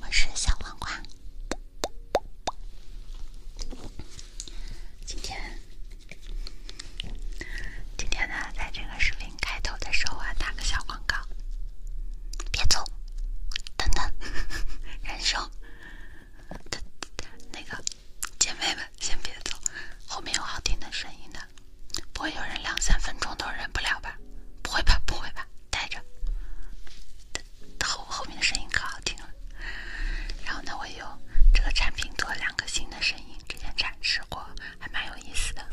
我是小黄瓜。今天，今天呢，在这个视频开头的时候啊，打个小广告，别走，等等，人 生，那个姐妹们先别走，后面有好听的声音的。不会有人两三分钟都忍不了吧？不会吧，不会吧，待着。后后面的声音可好听了。然后呢，我有这个产品做两个新的声音之前展示过，还蛮有意思的。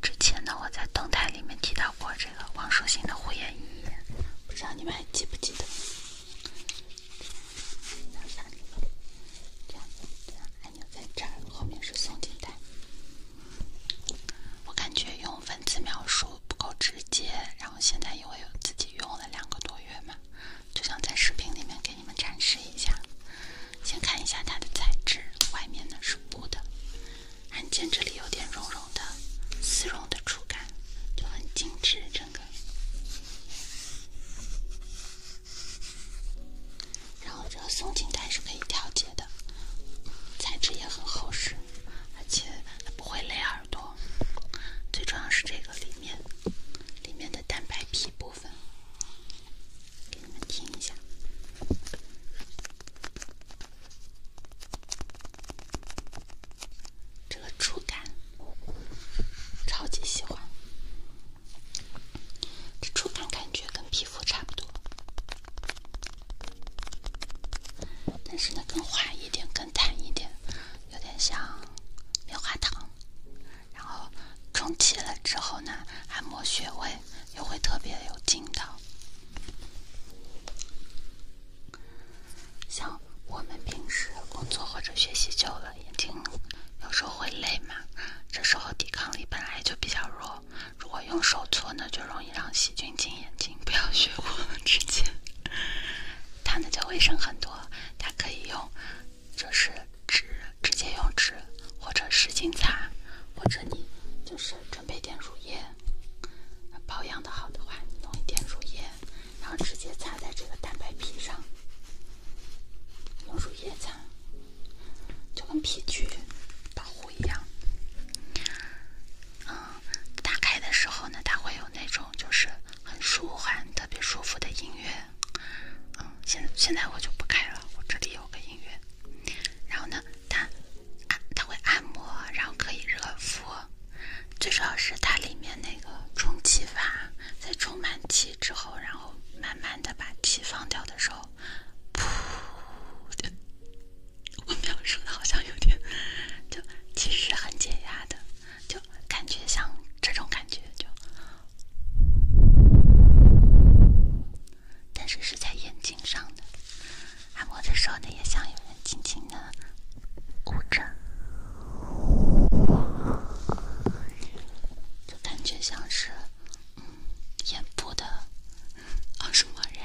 之前呢，我在动态里面提到过这个王舒心的护眼仪，不知道你们还记不记得？按钮在这儿，后面是松紧带。我感觉用文字描述不够直接，然后现在因为自己用了两个多月嘛，就想在视频里面给你们展示一下。先看一下它的材质，外面呢是布的，按键这里有点绒绒的丝绒的触感，就很精致，整个。然后这个松紧带是可以调节的，材质也很厚实，而且它不会勒耳朵。最重要是这个里面里面的蛋白皮部分，给你们听一下，这个触感超级喜欢。这触感感觉跟皮肤差不多，但是呢，更滑一点，更弹一点，有点像棉花糖。然后充气了之后呢，按摩穴位又会特别有劲道。像我们平时工作或者学习久了，眼睛。有时候会累嘛，这时候抵抗力本来就比较弱，如果用手搓呢，就容易让细菌进眼睛。不要学我直接，它呢就卫生很多，它可以用，就是纸直接用纸或者湿巾擦，或者你就是准备点乳液，保养的好的话，你弄一点乳液，然后直接擦在这个蛋白皮上，用乳液擦。就跟皮具保护一样，嗯，打开的时候呢，它会有那种就是很舒缓、特别舒服的音乐，嗯，现现在我就不开了，我这里有个音乐，然后呢，它它会按摩，然后可以热敷，最主要是它里面那个充气阀，在充满气之后，然后慢慢的把气放掉的时候。噗！我描述的好像有点，就其实很解压的，就感觉像这种感觉，就，但是是在眼睛上的按摩的时候呢，也像有人轻轻的捂着，就感觉像是。眼部的，奥数盲人，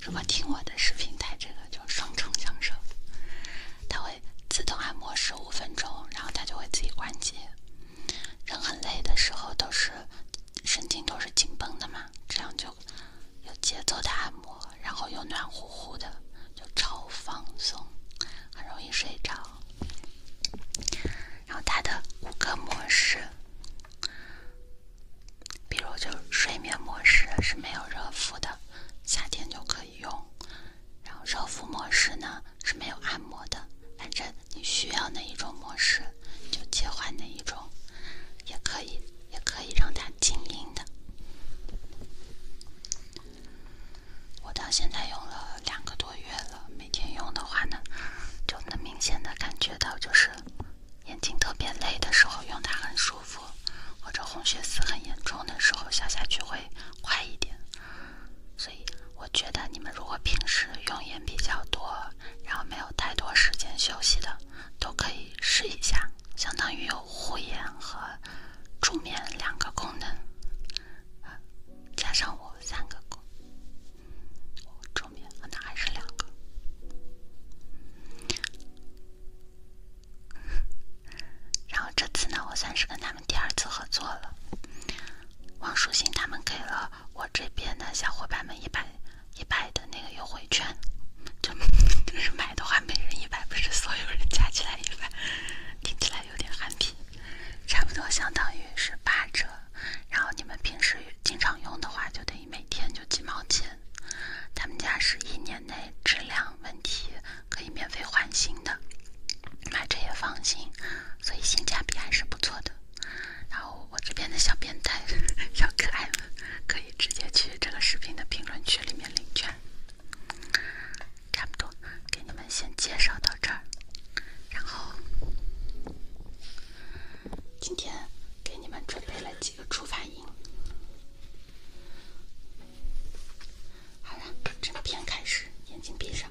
如果听我的视频带这个就双重享受，它会自动按摩十五分钟，然后它就会自己关机。人很累的时候都是神经都是紧绷的嘛，这样就有节奏的按摩，然后又暖乎乎的，就超放松，很容易睡着。然后它的五个模式，比如就睡眠模式是没有热敷的，夏天就可以用。然后热敷模式呢是没有按摩的，反正你需要哪一种模式就切换哪一种，也可以也可以让它静音的。我到现在用了两个多。个月了，每天用的话呢，就能明显的感觉到，就是眼睛特别累的时候用它很舒服，或者红血丝很严重的时候消下去会快一点。所以我觉得你们如果平时用眼比较多，然后没有太多时间休息的，都可以试一下，相当于有护眼和助眠两个功能，加上我三个功我点可能还是两个，然后这次呢，我算是跟他们第二次合作了。王书欣他们给了我这边的小伙伴们一百一百的那个优惠券，就 就是买的话，每人一百，不是所有人加起来一百，听起来有点憨批，差不多相当于是八折。然后你们平时经常用的话，就等于每天就几毛钱。他们家是一年内质量问题可以免费换新的，买着也放心，所以性价比还是不错的。然后我这边的小变态、小可爱们，可以直接去这个视频的评论区里面领券。差不多，给你们先介绍到这儿，然后。今天给你们准备了几个触发音，好了，正片开始，眼睛闭上。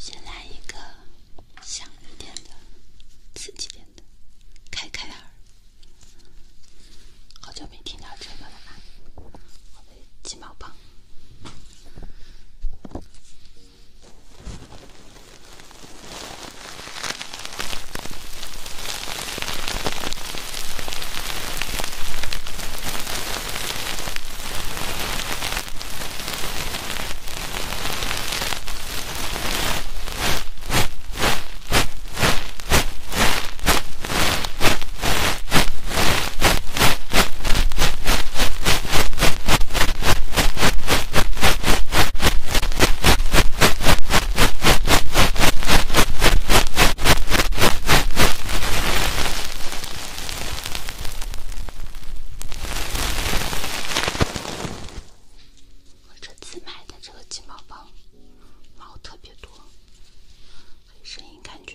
先来一个响一点的、刺激点的，开开耳。好久没听到这个了吧？鸡毛胖。我这次买的这个金毛棒，毛特别多，声音感觉。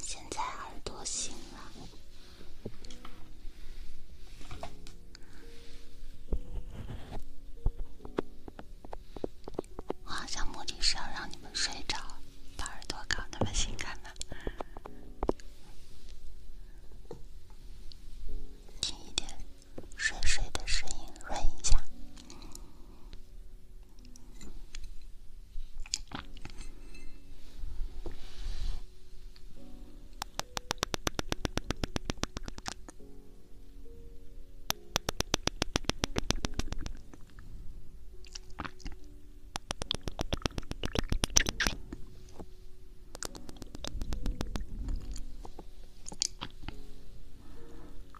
现在耳朵醒了，我好像目的是要让你们睡着，把耳朵搞那么性感呢，轻一点。睡睡的声音，润一下。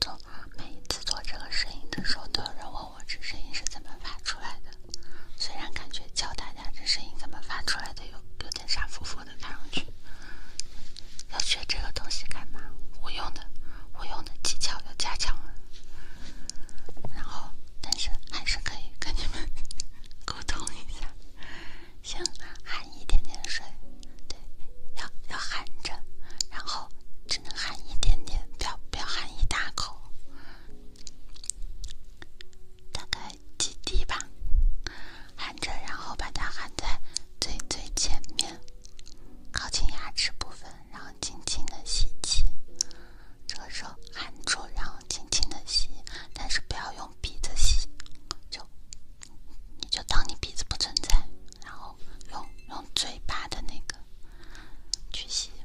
做每一次做这个声音的时候，都有人问我这声音是怎么发出来的。虽然感觉教大家这声音怎么发出来的有有点傻乎乎的看上去，要学这个东西干嘛？我用的，我用的技巧要加强了。然后。但是还是可以跟你们沟通一下。先含一点点水，对，要要含着，然后只能含一点点，不要不要含一大口，大概几滴吧，含着，然后把它含在最最前面，靠近牙齿部分，然后轻轻的吸气。这个时候含住，然后轻轻的吸，但是不要用鼻子吸，就你就当你鼻子不存在，然后用用嘴巴的那个去吸。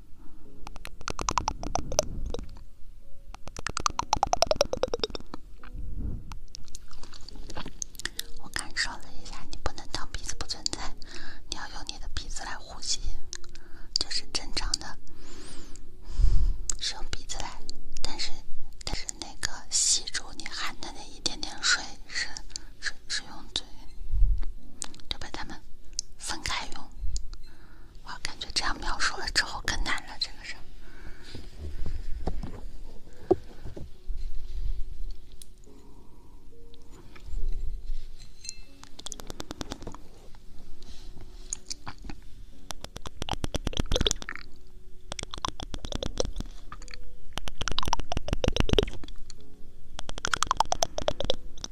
我感受了一下，你不能当鼻子不存在，你要用你的鼻子来呼吸，这是正常的，是用鼻子来。但是，但是那个吸住你汗的那一点点水，是是是用嘴，对吧？他们。分开用，我感觉这样描述了之后更难了，这个事儿。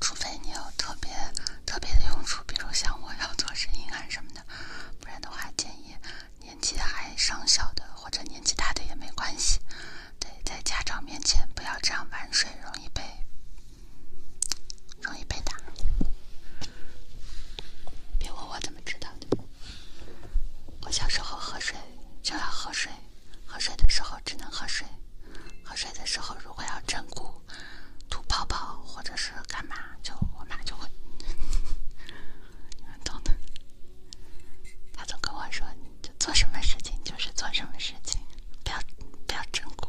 除非你有特别特别的用处，比如像我要做声音啊什么的，不然的话建议年纪还尚小的或者年纪大的也没关系。对，在家长面前不要这样玩水，容易被容易被打。别问我怎么知道的。我小时候喝水就要喝水，喝水的时候只能喝水。喝水的时候如果要振鼓、吐泡泡或者是干嘛，就我妈就会，你们懂的。她总跟我说，就做什么事情就是做什么事情，不要不要振鼓。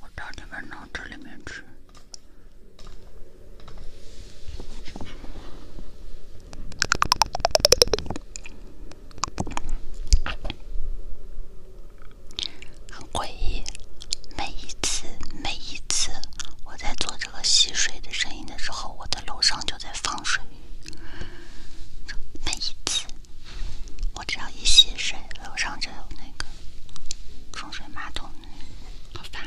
我到你们脑子里面去，很诡异。每一次，每一次，我在做这个吸水的声音的时候，我的楼上就在放水。每一次，我只要一洗水，楼上就有那个冲水马桶，好烦。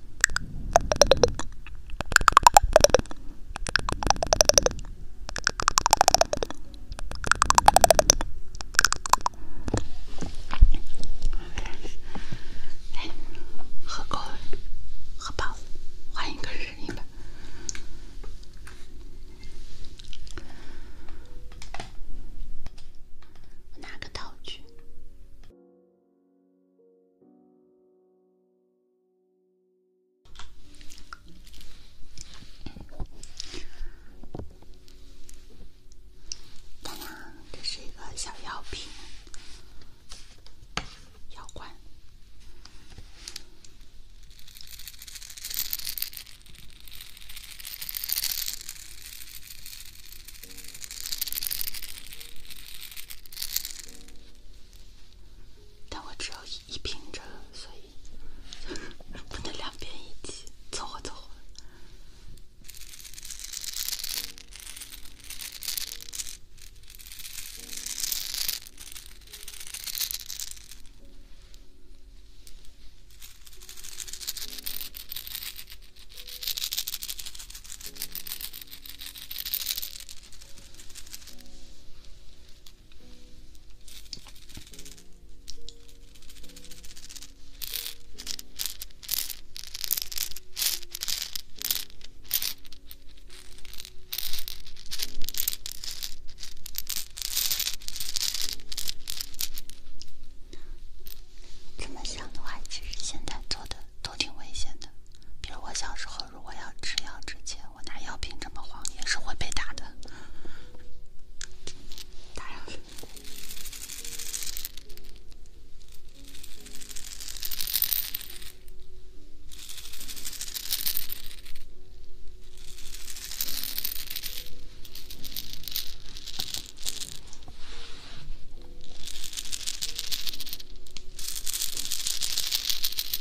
呵呵，好吧，换一个人音吧，拿个道具。呀，这是一个小药瓶，药管。但我只有一瓶着，所以 不能两边一起凑合凑合。这么想的话，其实现在做的。都挺危险的，比如我小时候，如果要吃药之前，我拿药瓶这么晃，也是会被打的。打扰。瓶。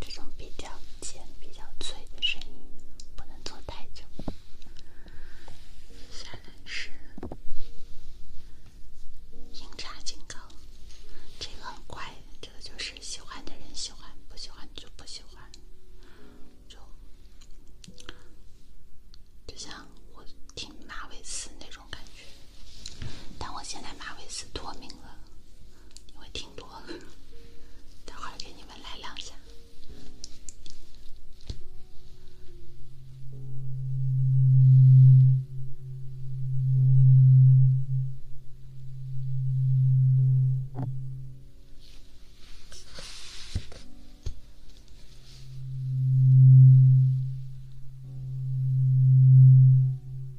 这种比较尖、比较脆的声音不能做太久。下来是《音叉警告》，这个很乖，这个就是喜欢的人喜欢，不喜欢就不喜欢，就像我听马尾丝那种。感觉，但我现在马尾丝脱敏了，因为听多了，等 会儿给你们来两下。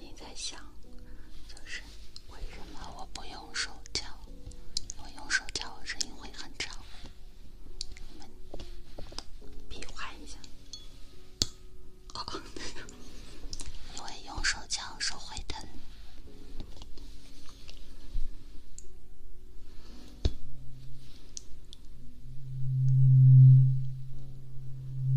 你在想，就是为什么我不用手敲？因为用手敲，声音会很长。比划一下，因为用手敲手会疼。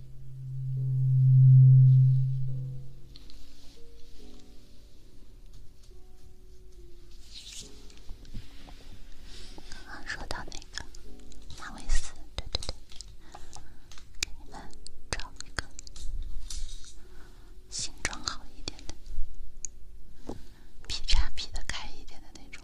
刚刚说到那个马尾丝，对对对，给你们找一个形状好一点的，劈叉劈的开一点的那种。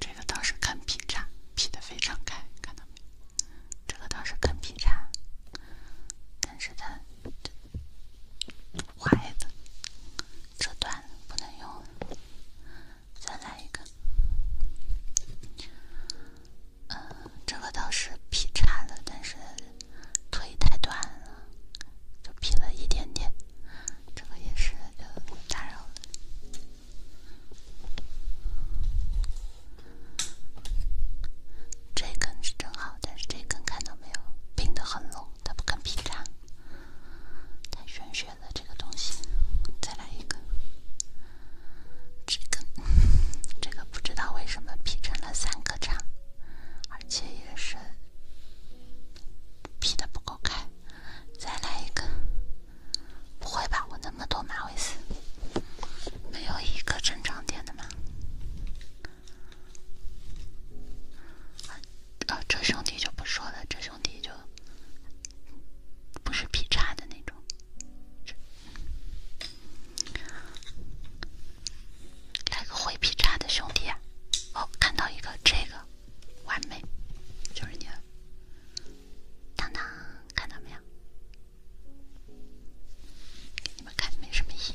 这个倒是肯劈叉，劈得非常开，看到没？这个倒是肯劈叉，但是他，怀子，这段不能用了，再来一个。呃，这个倒是劈叉了，但是腿太短了，就劈了一点点。这个也是，就打扰了。这根是正好，但是这根看到没有，拼的很拢，它不肯劈叉。太玄学了这个东西，再来一个。这个这个不知道为什么劈成了三个叉，而且也是劈的不够开。再来一个，不会吧？我那么多马尾丝，没有一个正常点的吗？呃，这兄弟就不说了，这兄弟就不是劈叉的那种，来个会劈叉的兄弟啊！哦，看到一个这个。完美，就是你。当当，看到没有？给你们看，没什么意义。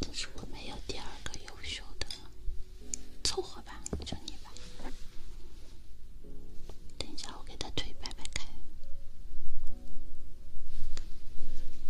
但是我没有第二个优秀的，凑合吧，就你吧。等一下，我给他腿掰掰开。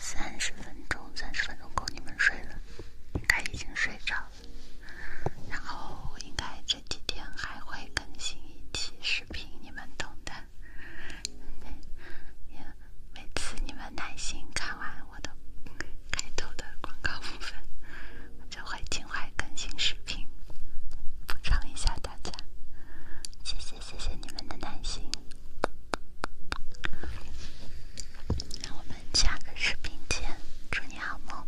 三十分钟，三十分钟够你们睡了，应该已经睡着了。然后，应该这几天还会更新一期。视频你们懂的，每次你们耐心看完我的开头的广告部分，我就会尽快更新视频，补偿一下大家。谢谢谢谢你们的耐心，我们下个视频见，祝你好梦。